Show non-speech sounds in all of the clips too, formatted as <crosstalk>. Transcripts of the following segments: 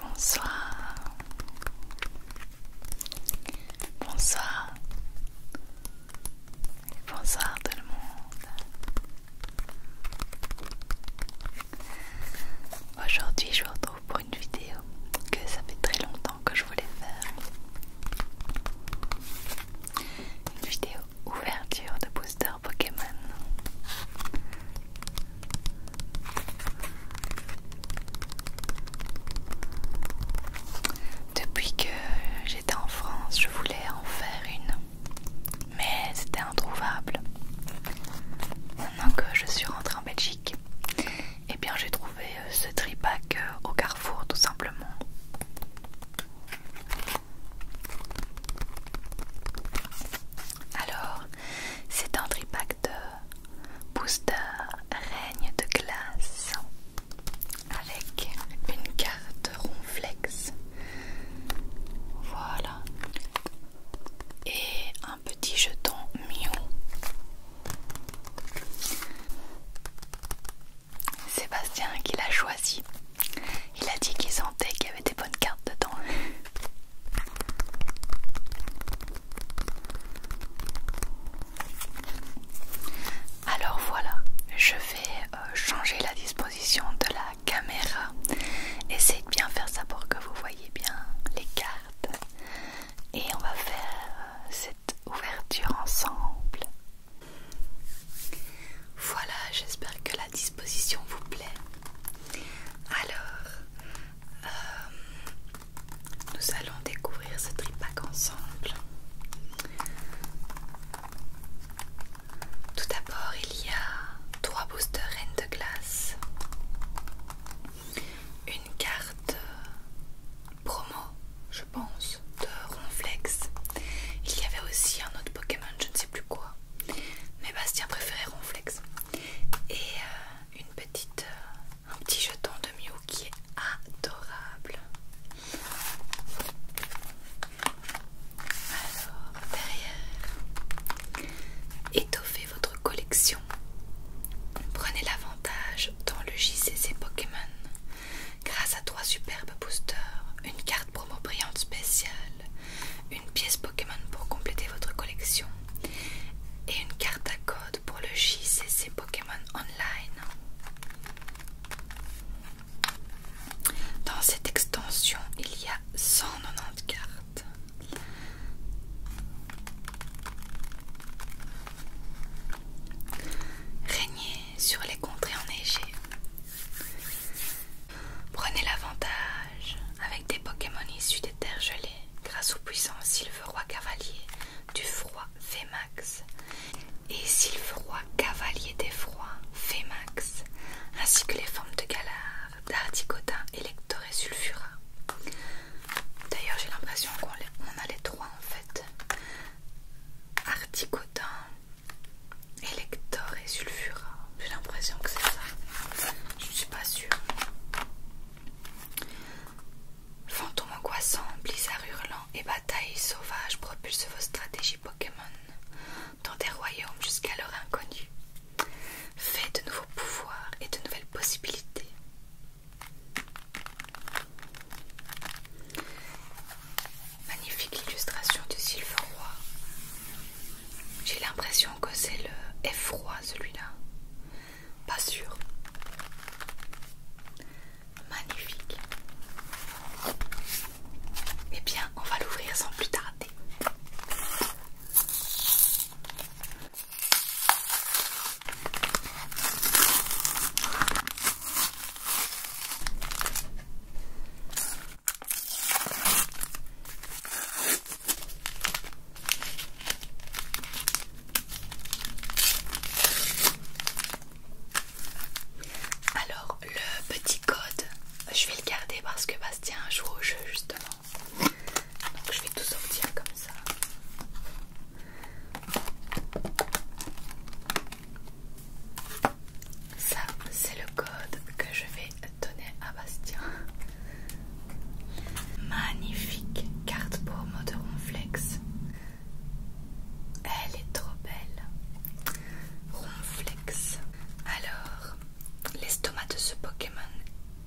Bonsoir. Bonsoir. Bonsoir tout le monde. Aujourd'hui je vous retrouve pour une vidéo que ça fait très longtemps que je voulais faire. Une vidéo ouverture de boutique. Pokémon. Depuis que j'étais en France, je voulais en faire une, mais c'était introuvable. Maintenant que je suis rentrée en Belgique, Et eh bien j'ai trouvé euh, ce tripack euh, au Carrefour tout simplement. Alors, c'est un tripack de booster règne de glace avec une carte ronflex. Voilà. Et un petit jeton Mew. Sébastien qui l'a choisi. Il a dit qu'il sentait qu'il y avait des bonnes cartes dedans. Alors voilà, je vais euh, changer la disposition de la caméra. Essayez de bien faire ça pour que vous voyez bien les cartes. Et on va faire euh, cette ouverture ensemble. Voilà, j'espère que la disposition vous plaît. Alors, euh, nous allons découvrir ce tripack ensemble. Tout d'abord, il y a trois boosters Reine de glace, une carte promo, je pense, de Ronflex. Il y avait aussi un autre Pokémon, je ne sais plus quoi. Mais Bastien préférait Ronflex et euh, une petite, euh, un petit jeton de Mew qui est adorable. Alors derrière, étoffez votre collection. Prenez l'avantage dans le JCC Pokémon grâce à trois superbes boosters, une carte promo brillante spéciale, une pièce Pokémon pour compléter votre collection et une carte à code pour le JCC Pokémon Online. Dans cette extension, il y a 190 cartes. Régnez sur les contrées enneigées. Prenez l'avantage avec des Pokémon issus des terres gelées grâce au puissant Silveroi Cavalier du froid Femax et Silveroi Cavalier des froids Femax ainsi que les formes de Galard d'Articotin, Elector et Sulfura. D'ailleurs j'ai l'impression qu'on a les trois en fait. Articotin, Elector Sulfuras. J'ai l'impression que c'est ça. Je ne suis pas sûre. Fantômes angoissants, blizzards hurlants et batailles sauvages propulsent vos stratégies Pokémon dans des royaumes jusqu'alors inconnus. Faites de nouveaux pouvoirs et de nouvelles possibilités. Magnifique illustration du Silver j'ai l'impression que c'est le effroi celui-là. Pas sûr. Magnifique. Eh bien, on va l'ouvrir sans plus tarder. Alors le petit code, je vais le garder parce que Bastien joue au jeu justement. Donc je vais tout sortir comme ça. Ça, c'est le code que je vais à Bastien. Magnifique carte pour mode Ronflex. Elle est trop belle. Ronflex. Alors, l'estomac de ce Pokémon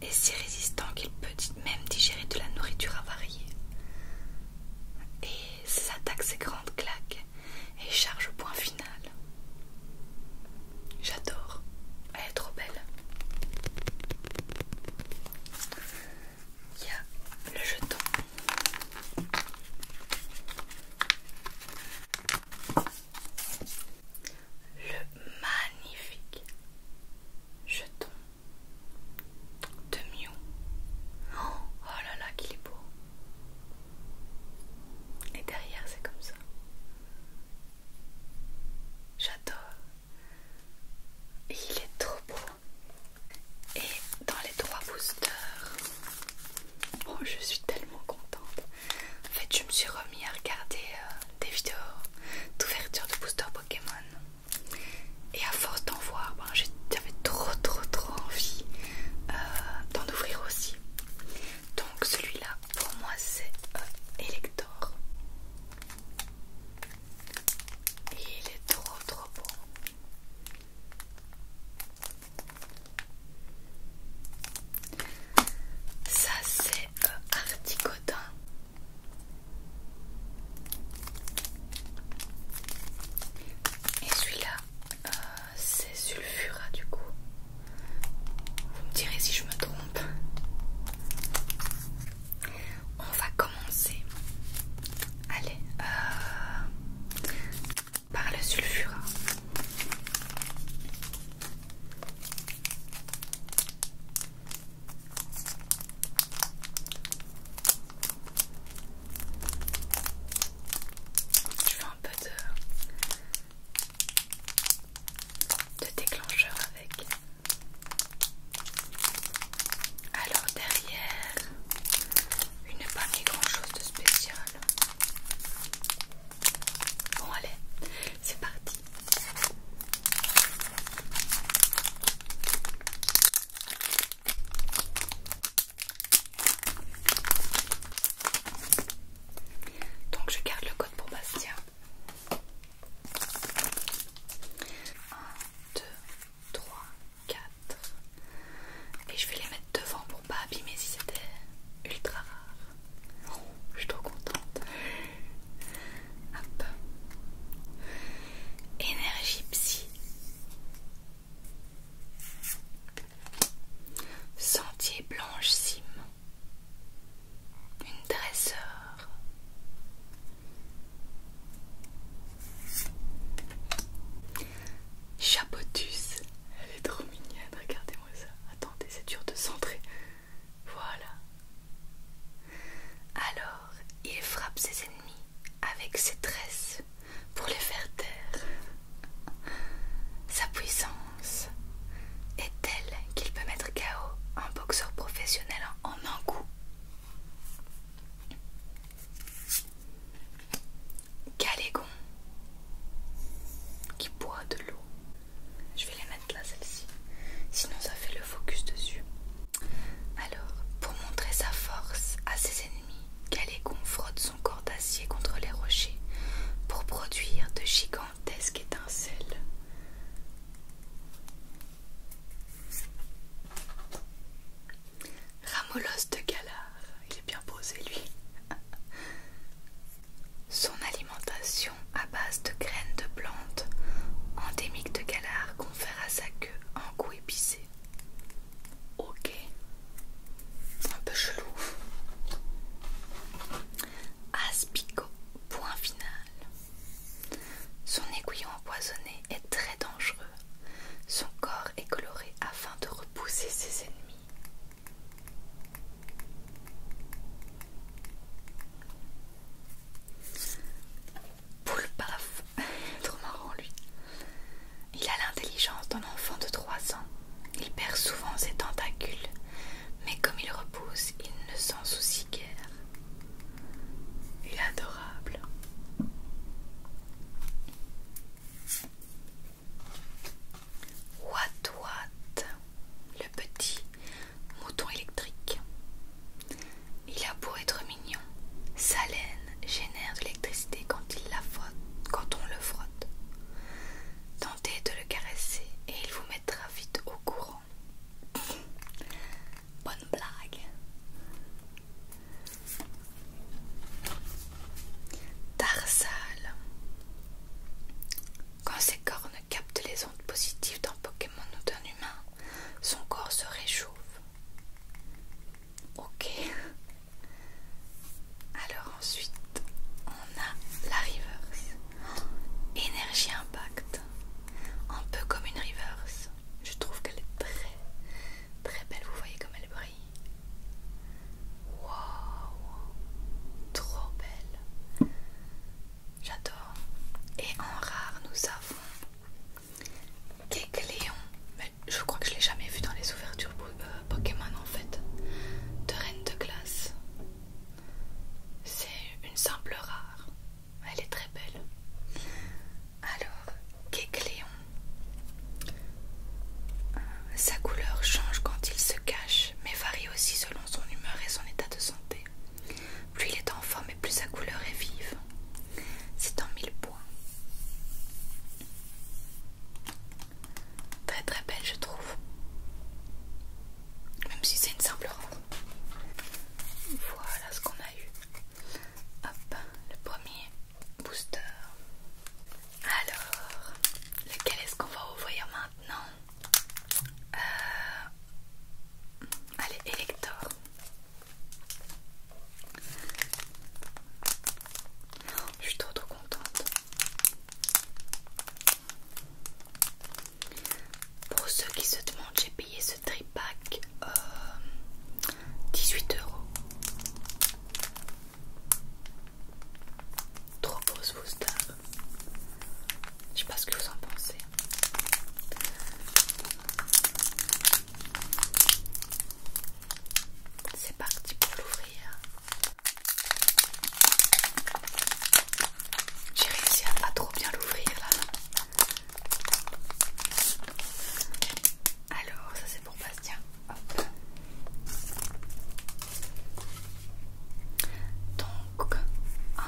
est si résistant qu'il peut même digérer de la nourriture avariée. Et s'attaque ses grandes claques et charge au point final. J'adore. Elle est trop belle. Il y a le jeton. Le magnifique jeton de Mew. oh là là, qu'il est beau. Et derrière, c'est comme ça. J'adore. il est trop beau. Et dans les trois boosters, oh, je suis tellement contente. En fait, je me suis remis à regarder euh, des vidéos d'ouverture de booster Pokémon. Et à force d'en voir, ben, j'avais trop trop trop envie euh, d'en ouvrir aussi. Donc celui-là pour moi c'est euh, Elector. Et il est trop trop beau. Ça c'est euh, Articotin. Et celui-là, euh, c'est Sulfura du coup. Vous me direz si je me trompe. On va commencer. Allez, euh, par le sulfura. Tu fais un peu de de déclencheur avec. Alors derrière, Une pas grand chose de spécial. Bon allez, c'est parti. Donc je garde le code pour Bastien. 1, 2, 3, 4. Et je vais les mettre devant pour pas abîmer si c'était ultra rare. Oh, je suis trop contente. Hop. Énergie psy. Sentier blanche cime une dresseur. Chapotus, elle est trop mignonne, regardez-moi ça. Attendez, c'est dur de centrer. Voilà. Alors, il frappe ses ennemis avec ses tresses pour les faire taire. Sa puissance est telle qu'il peut mettre KO un boxeur professionnel en un coup. Calégon qui boit de l'eau. Je vais les mettre là, celle-ci. Sinon, ça fait le focus dessus. Alors, pour montrer sa force à ses ennemis, Calégon frotte son corps d'acier contre les rochers pour produire de gigantes gigantesque étincelle. Ramolos de Galard, il est bien posé lui. <laughs> Son alimentation à base de graines de plantes endémiques de Galard confère à sa queue un goût épicé. Ok, un peu chelou. Aspico, point final. Son aiguillon empoisonné est très dangereux. Son corps est coloré afin de repousser ses ennemis. Poule paf, <laughs> trop marrant lui. Il a l'intelligence d'un enfant de 3 ans. Il perd souvent ses tentacules, mais comme il repousse, il ne s'en soucie adorable. Watt Watt, le petit mouton électrique. Il a beau être mignon, sa laine génère de l'électricité quand, il la frotte, quand on le frotte. Tentez de le caresser et il vous mettra vite au courant Bonne blague. Tarsal. Quand ses cornes captent les ondes positives d'un Pokémon ou d'un humain, son corps se réchauffe. Ok. Alors ensuite, on a la reverse. Énergie impact un peu comme une reverse. Je trouve qu'elle est très très belle. Vous voyez comme elle brille. Wow trop belle. J'adore. Et en rare, nous avons Kekléon. Mais je crois que je l'ai jamais vu dans les ouvertures euh, Pokémon en fait. De Reine de Glace. C'est une simple rare. Elle est très belle. Alors, Kekléon. Euh, sa couleur change quand il se cache, mais varie aussi selon son humeur et son état de santé. Plus il est en forme et plus sa couleur est vive. C'est en mille points. Très très belle je trouve même si c'est une simple ronde. Voilà ce qu'on a eu. Hop, le premier booster. Alors, lequel est-ce qu'on va ouvrir maintenant euh, Allez, Elector. je suis trop trop contente. Pour ceux qui se demandent, j'ai payé ce tripack euh, 18 euros. Trop beau ce booster. Je sais pas ce que vous en pensez. C'est parti pour l'ouvrir. J'ai réussi à pas trop bien l'ouvrir Alors, ça c'est pour Bastien. Donc, 1,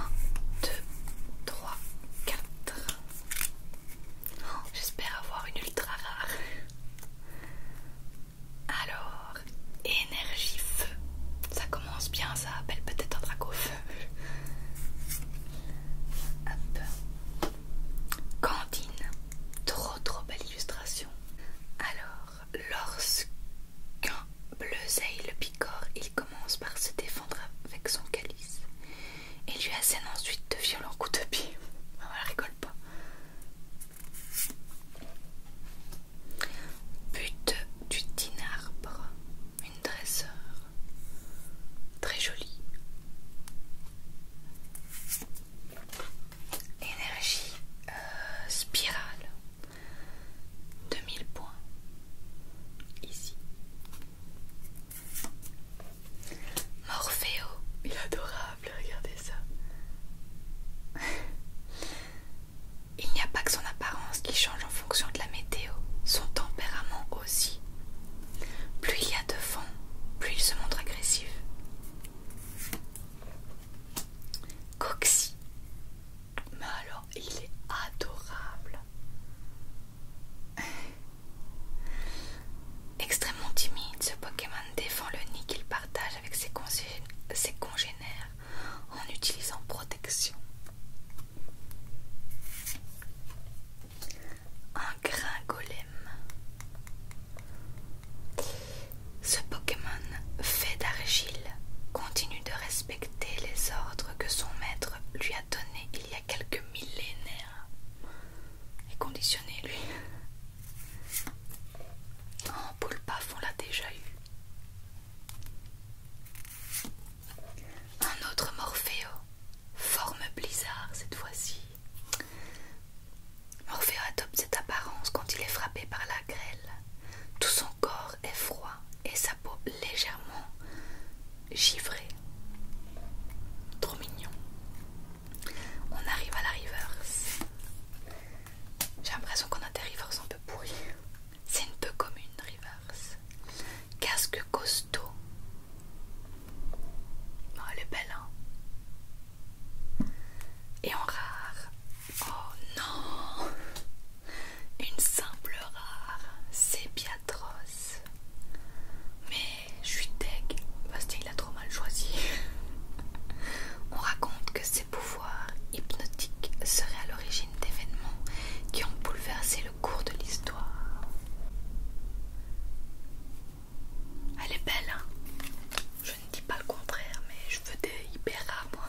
2, 3, 4. J'espère avoir une ultra rare. Alors, énergie feu. Ça commence bien, ça appelle peut-être un feu Trop trop belle illustration. Alors, lorsqu'un bleuzeille le picore, il commence par se défendre avec son calice et lui assène ensuite de violents coups de pied. Ah, On ne rigole pas. But du dinarbre une dresseur très jolie, énergie euh, spirale. spirale 2000 points ici. Morphéo, il est adorable, regardez ça. Il n'y a pas que son apparence qui change en fonction de la météo, son tempérament aussi. Plus il y a de vent, plus il se montre agressif. Coxi, Mais alors, il est adorable. Extrêmement timide, ce Pokémon défend le nid qu'il partage avec ses congénères en utilisant protection. Un grain golem. Ce Pokémon fait d'argile continue de respecter les ordres que son maître lui a donnés il y a quelques millénaires. Et conditionné lui. En boule on l'a déjà eu. Un autre Morpheo, forme blizzard cette fois-ci. Morpheo adopte cette apparence quand il est frappé par la grêle. Tout son corps est froid et sa peau légèrement givrée. Trop mignon. On arrive à la reverse. J'ai l'impression qu'on a des reverses un peu pourries. C'est une peu commune reverse. Casque costaud. Oh, elle est belle, hein. Et en rare. Oh non! Une simple rare. C'est bien Mais je suis deg. Bastien, il a trop mal choisi. <laughs> On raconte que ses pouvoirs hypnotiques seraient à l'origine d'événements qui ont bouleversé le cours de l'histoire. Elle est belle, hein. Je ne dis pas le contraire, mais je veux des hyper rares, moi.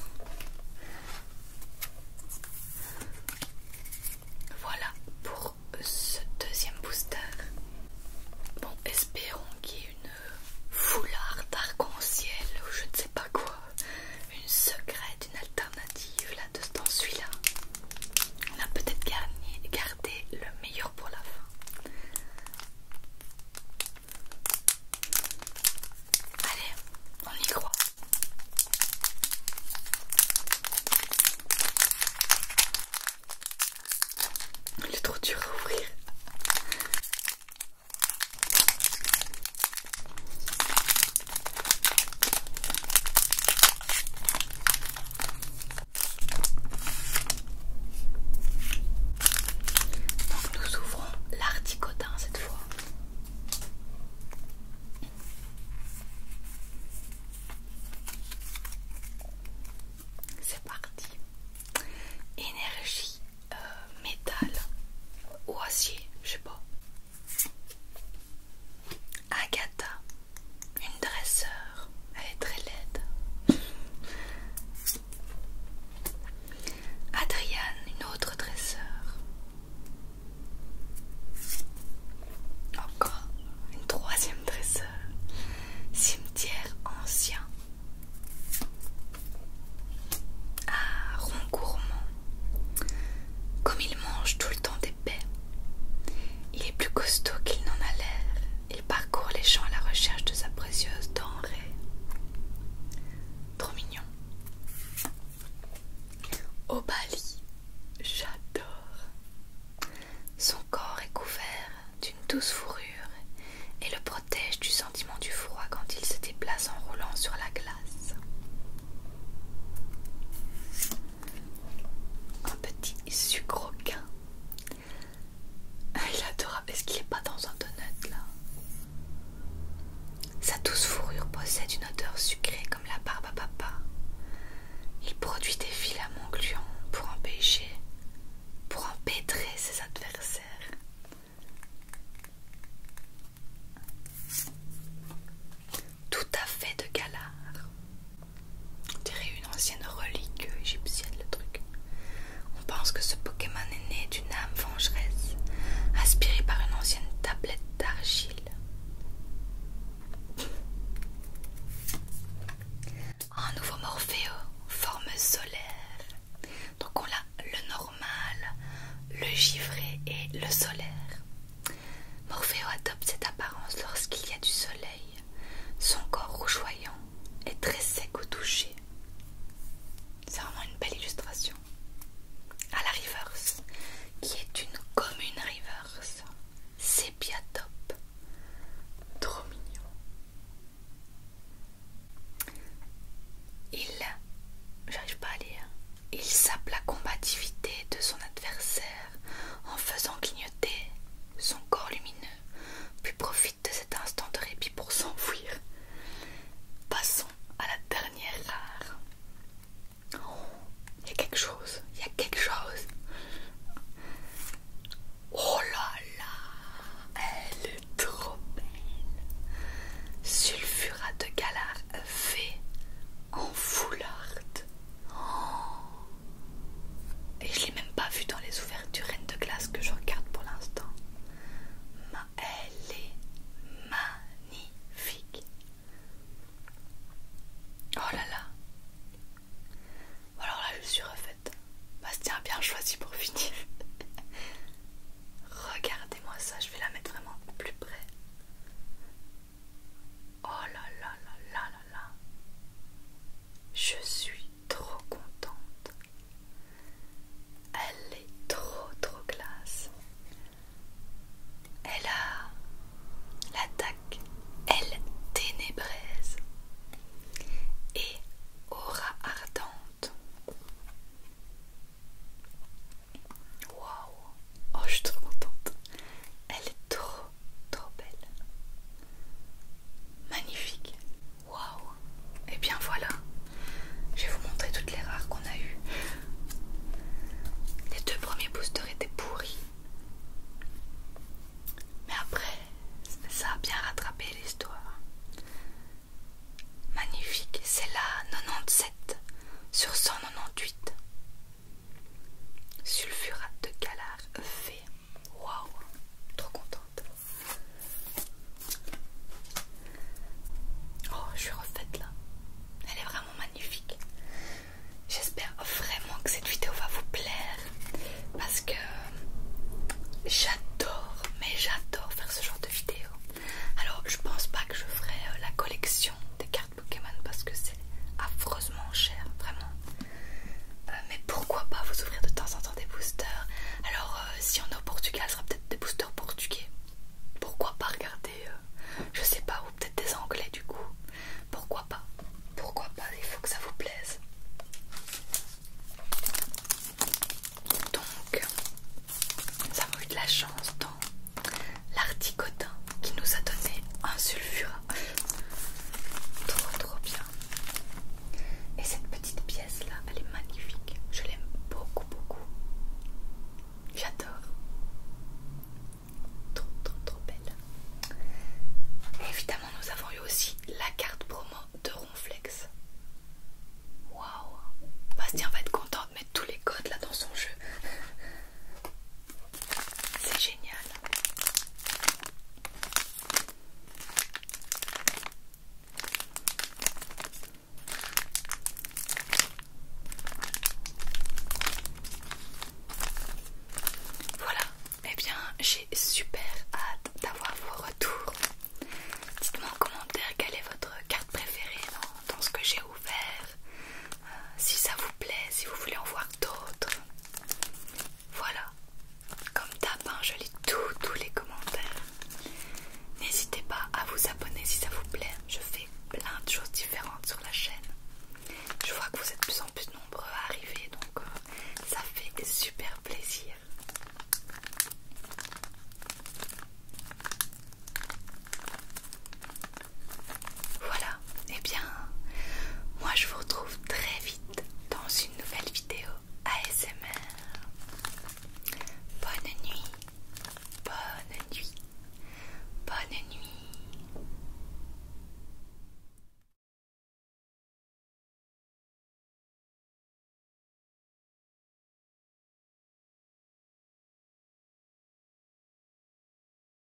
Voilà pour ce deuxième booster. Bon, espérons qu'il y ait une foulard d'arc-en-ciel ou je ne sais pas quoi une secrète, une alternative là de, ce temps là On a peut-être gardé, gardé le meilleur pour la fin. Allez, on y croit. Il est trop dur à ouvrir. Donc nous ouvrons l'articotin cette fois. C'est parti. Énergie euh, métal ou acier, je sais pas. Agatha, une dresseur, elle est très laide. Adriane, une autre dresseur. Encore une troisième dresseur. Cimetière ancien. Ah, gourmand Comme il mange tout le temps des il est plus costaud qu'il n'en a l'air. Il parcourt les champs à la recherche de sa précieuse denrée. Trop mignon. Au j'adore. Son corps est couvert d'une douce fourrure et le protège du sentiment du froid quand il se déplace en roulant sur la glace un petit sucroquin. Il adore, Est-ce qu'il n'est pas dans un donut là Sa douce fourrure possède une odeur sucrée comme la barbe à papa. Il produit des filaments gluants pour empêcher, pour empêtrer ses adversaires tout à fait de galard. On dirait une ancienne relique égyptienne, le truc. On pense que ce Pokémon est né d'une âme vengeresse, inspirée par une ancienne tablette d'argile. Un nouveau Morphéo, forme solaire. Donc on a le normal, le givré et le solaire. Morpheo adopte cette apparence lorsqu'il y a du soleil. Son corps rougeoyant est très sec au toucher. C'est vraiment une belle illustration. À la reverse, qui est une commune reverse. C'est top. Trop mignon. Il. J'arrive pas à lire. Il sape la combativité de son adversaire en faisant clignoter son corps lumineux, puis profite de cet instant de répit pour s'enfuir. Passons à la dernière rare. Il y a quelque chose, il y a quelque chose. Oh là là, elle est trop belle. Sulfurate de galard V en foulard. Oh. Et je l'ai même pas vu dans les ouvertures reine de glace que je regarde pour l'instant. Elle est magnifique. Oh là là. Alors là, je suis refaite. Bastien a bien choisi pour finir. <laughs> Regardez-moi ça, je vais la mettre vraiment plus près. Oh là là là là là Je suis trop contente. Elle est trop trop classe. Elle a l'attaque, elle ténébreuse et aura ardente. Wow. Oh, je suis trop contente. Elle est trop, trop belle. Magnifique. Waouh. Et eh bien voilà. Je vais vous montrer toutes les rares qu'on a eues. Les deux premiers boosters étaient pourris. Mais après, ça a bien rattrapé l'histoire. Magnifique, c'est la 97 sur 198. Sulfurate de galard fait Waouh, trop contente. Oh, je suis refaite là. Elle est vraiment magnifique. J'espère vraiment que cette vidéo va vous plaire parce que j'adore, mais j'adore faire ce genre de vidéo. Alors, je pense pas que je ferai euh, la collection des cartes Pokémon parce que c'est affreusement cher, vraiment. Euh, mais pourquoi pas vous ouvrir de temps en temps des boosters Alors, euh, si on est au Portugal, ce sera peut-être des boosters portugais. Pourquoi pas regarder, euh, je sais pas, ou peut-être des anglais du coup. Pourquoi pas Pourquoi pas Il faut que ça vous plaise. Donc, ça avons eu de la chance dans l'articotin qui nous a donné un sulfura. Trop trop bien. Et cette petite pièce là, elle est magnifique. Je l'aime beaucoup beaucoup. J'adore. Trop trop trop belle. évidemment, nous avons eu aussi la carte promo de Ronflex. Waouh Bastien va être content de mettre tous les codes là dans son jeu. C'est génial. Voilà, et eh bien j'ai super hâte d'avoir vos retours. Dites-moi en commentaire quelle est votre carte préférée dans, ce que j'ai ouvert. Euh, si ça vous plaît, si vous voulez en voir d'autres. Voilà, comme d'hab, hein, je lis tous les commentaires. N'hésitez pas à vous abonner si ça vous plaît. Je fais plein de choses différentes sur la chaîne. Je vois que vous êtes de plus en plus nombreux à arriver, donc euh, ça fait super plaisir. Voilà, eh bien, moi je vous retrouve très vite dans une nouvelle vidéo ASMR. Bonne nuit, bonne nuit, bonne nuit.